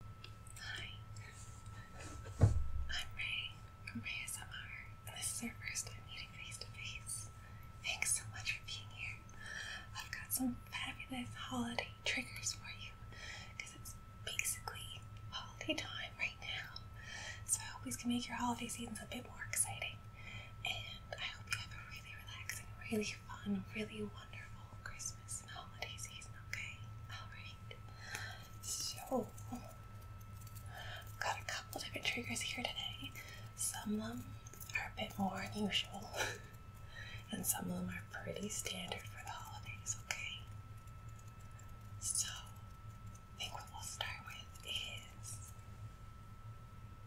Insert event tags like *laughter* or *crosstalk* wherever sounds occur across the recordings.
Hi, I'm Ray from Ray SMR, and this is our first time meeting face to face. Thanks so much for being here. I've got some fabulous holiday triggers for you it's basically holiday time right now. So I hope these can make your holiday seasons a bit more exciting. And I hope you have a really relaxing, really fun, really wonderful wonderful Christmas and holiday season, okay? Alright. So got a couple different triggers here today. Some of them are a bit more unusual. *laughs* and some of them are pretty standard for the holidays, okay? So I think what we'll start with is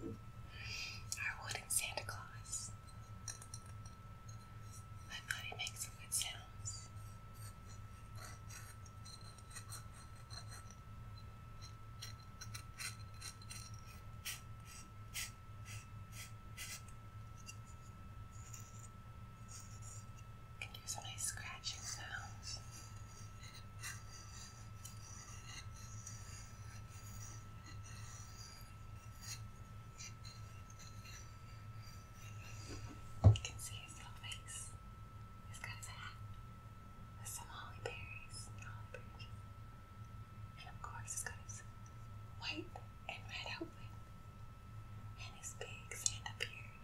our wooden Santa Claus sounds. My body makes some good sounds. can do some nice scratching sounds. You can see his little face. He's got his hat with some holly And of course, he's got his white and red outfit and his big Santa beard.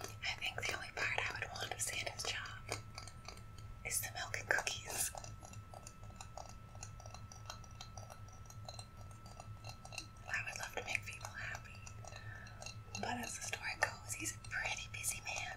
I think the only part I would want of Santa's job is the milk and cookies. I would love to make people happy, but as the story goes, he's a pretty busy man.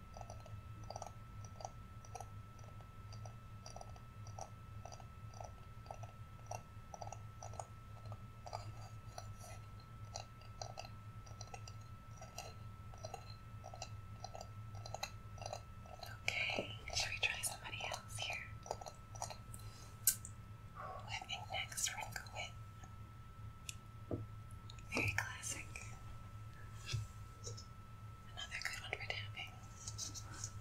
Okay, should we try somebody else here? I think next we're gonna go with very classic. Another good one for tapping.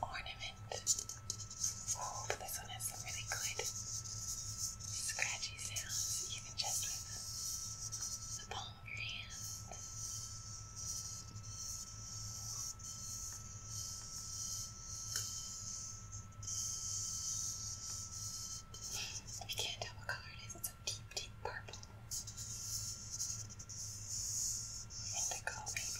Ornament. Oh, this one has some really good scratchy sounds, even just with the palm of your hand. We can't tell what color it is shades of deep, deep purple. Indigo, maybe.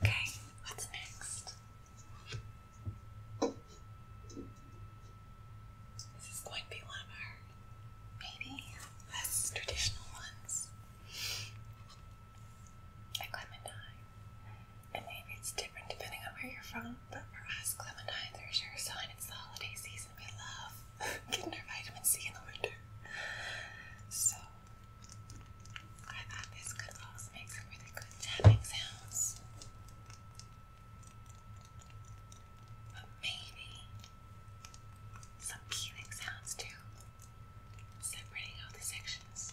Okay, what's next? This is going to be one of our maybe less traditional ones. clementine. And maybe it's different depending on where you're from, but for us, Clementine, there's sure a sign it's the holiday season. We love *laughs* getting our vitamin C in the winter. So, I thought this could also make some really good tapping sounds. But maybe some peeling sounds too, separating out the sections.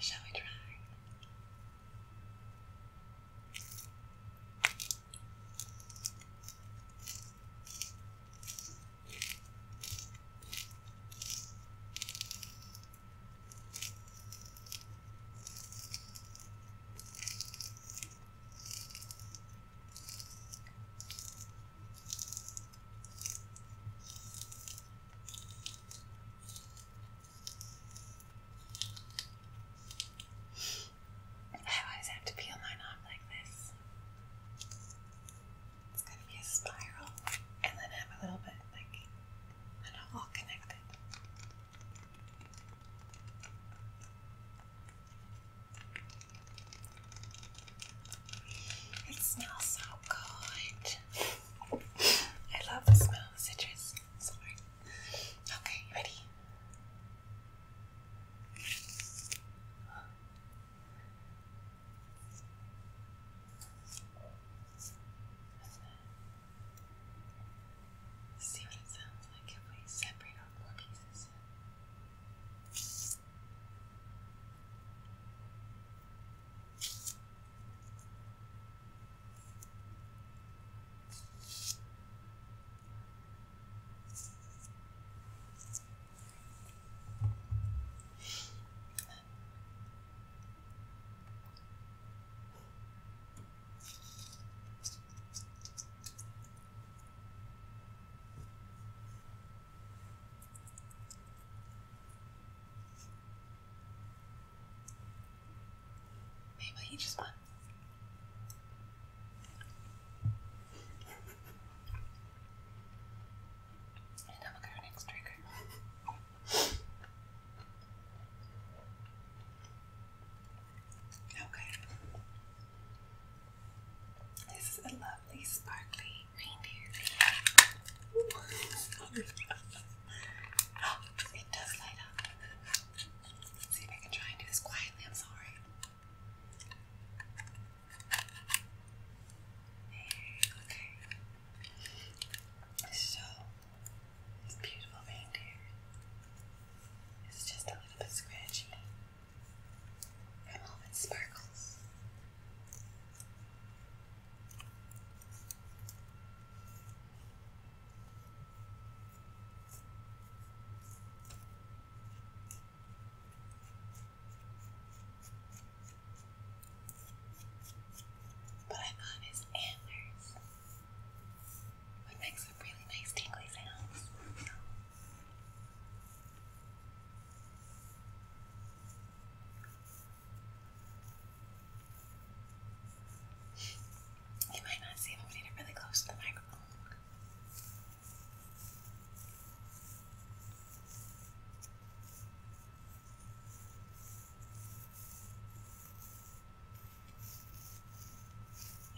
Shall we try? I always have to peel mine off like this. It's going to be a spiral and then have a little bit like, all connected. It smells so good. I love the smell of citrus. Sorry. Okay, ready? See what it sounds like if we separate all core pieces. Maybe he just wants And I'm trigger. Okay. This is a lovely sparkly reindeer. Oh, it does light up. Let's see if I can try and do this quietly. I'm sorry. Okay. So this beautiful reindeer is just a little bit scratchy from all its sparkles. But I thought his antlers it makes some really nice tingly sounds. You might not see them, we need it really close to the microphone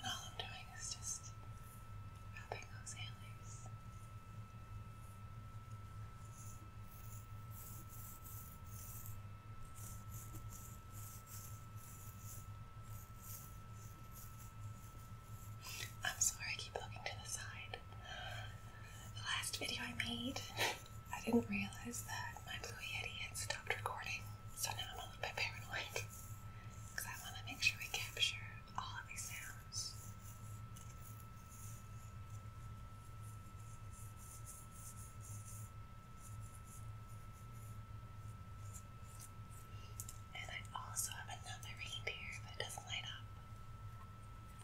all I'm doing is just rubbing those antlers. I'm sorry I keep looking to the side. The last video I made I didn't realize that my Blue Yeti had stopped recording, so now I'm a little bit paranoid because *laughs* I want to make sure we capture all of these sounds. And I also have another reindeer that doesn't light up.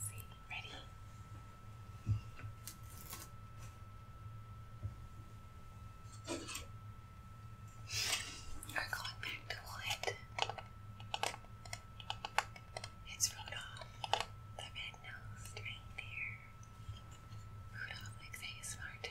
see, ready? We're going back to wood. It's Rudolph, the red-nosed reindeer. Rudolph makes ASMR too.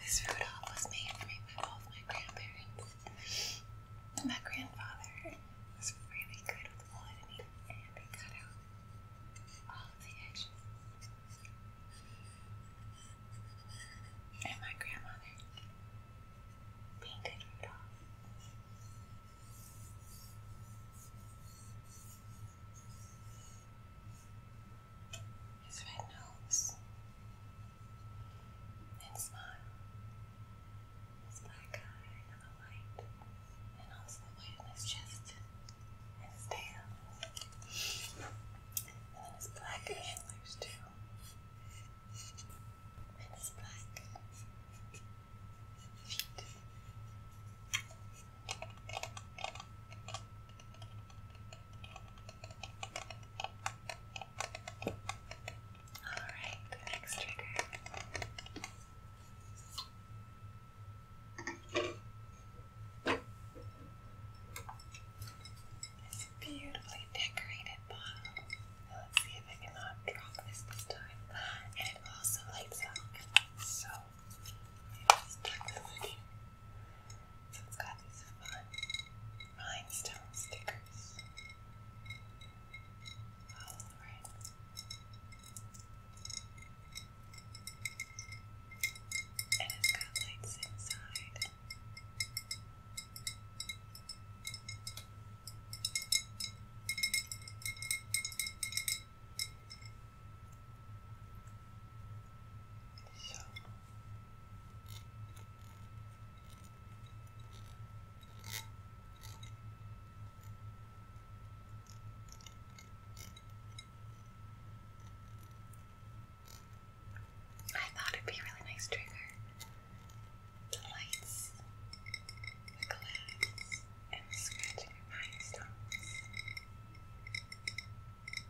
This Rudolph was made for me by both my grandparents. My grandfather was really good with wood and he, cut out all the edges. And my grandmother painted Rudolph his red nose, and smile, his black eye, and the light, and also the weight on his chest, and his tail, and then his black antlers too, and his black feet. Alright, the next trigger. beautifully decorated bottle. let's see if I cannot drop this this time. And it also lights up. So, I just tuck this in here. So it's got these fun rhinestone stickers all over it. And it's got lights inside. So I thought it'd be really nice trigger. The lights, the glass, and scratching my stones.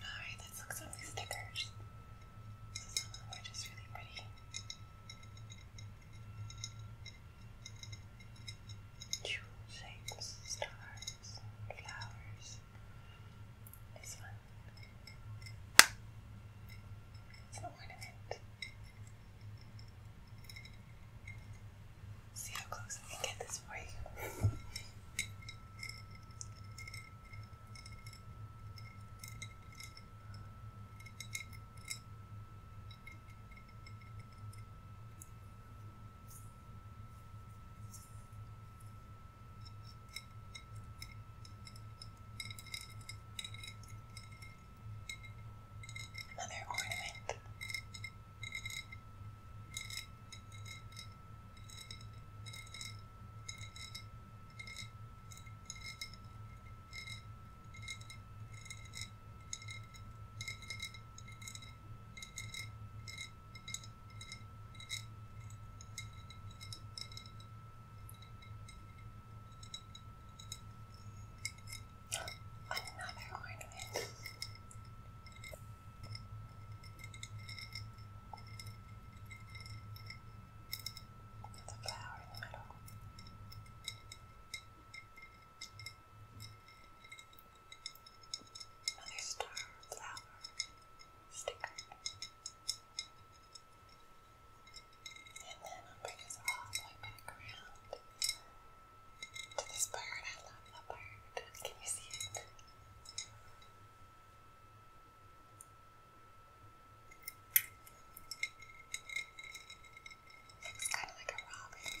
Alright, let's look some of these stickers. Some of them are just really pretty. Jewel shapes, stars, flowers. This one. It's an ornament. See how close I can get this for you. Another ornament. Another ornament. That's flower in the middle. Another star flower sticker. And then I'll bring us all the way back around to this bird. I love Can you see it? Looks kind of like a robin.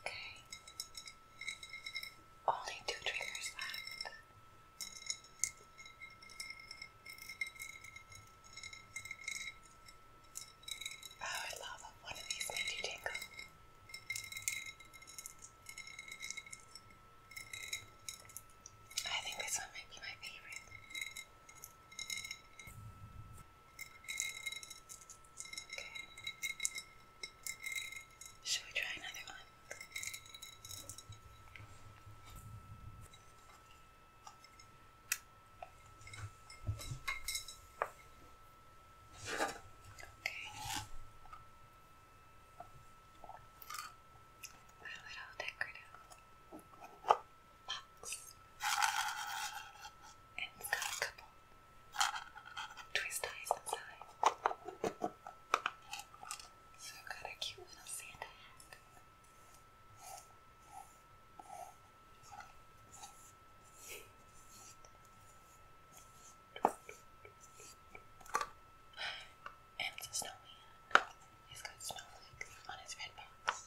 Okay. Only two triggers left. Oh, I love one of these made you tingle. I think this one might be my favorite. Should we try another one? Okay. A little decorative box. And it's got a couple twist ties inside. So I've got a cute little Santa And it's snowman. He's got snowflakes on his red box.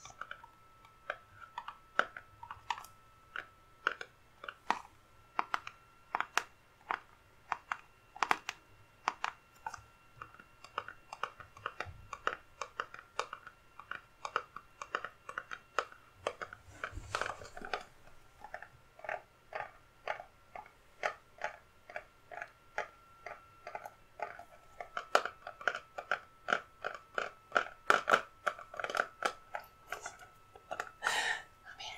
I oh, mean,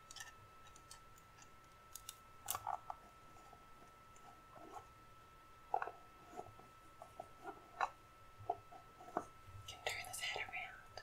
Can turn his head around.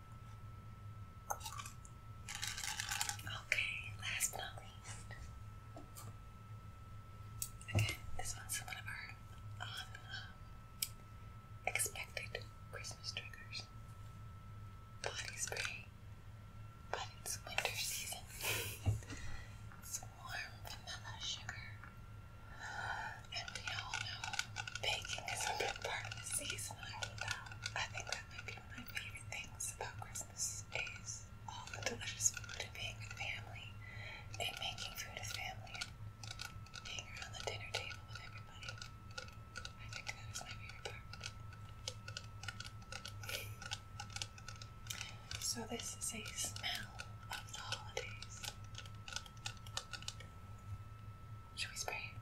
Okay, last not least. Again, this one's one of our unexpected um, Christmas triggers. Body spray, but it's winter season. *laughs* it's warm vanilla sugar and we all know baking is a big part of the season. I think that might be my favorite things about Christmas is all the delicious food and being with family and making food as family being around the dinner table with everybody. I think that is my favorite part. So this is a smell of the holidays. Should we spray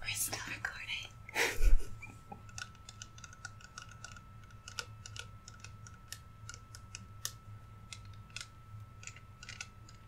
We're still recording. *laughs*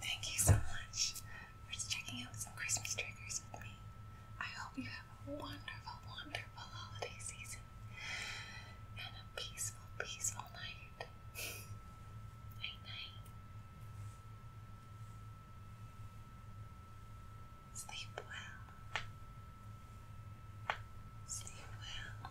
Thank you so much for checking out some Christmas triggers with me. I hope you have a wonderful, wonderful holiday season and a peaceful, peaceful night. *laughs* night, Sleep well. Sleep well.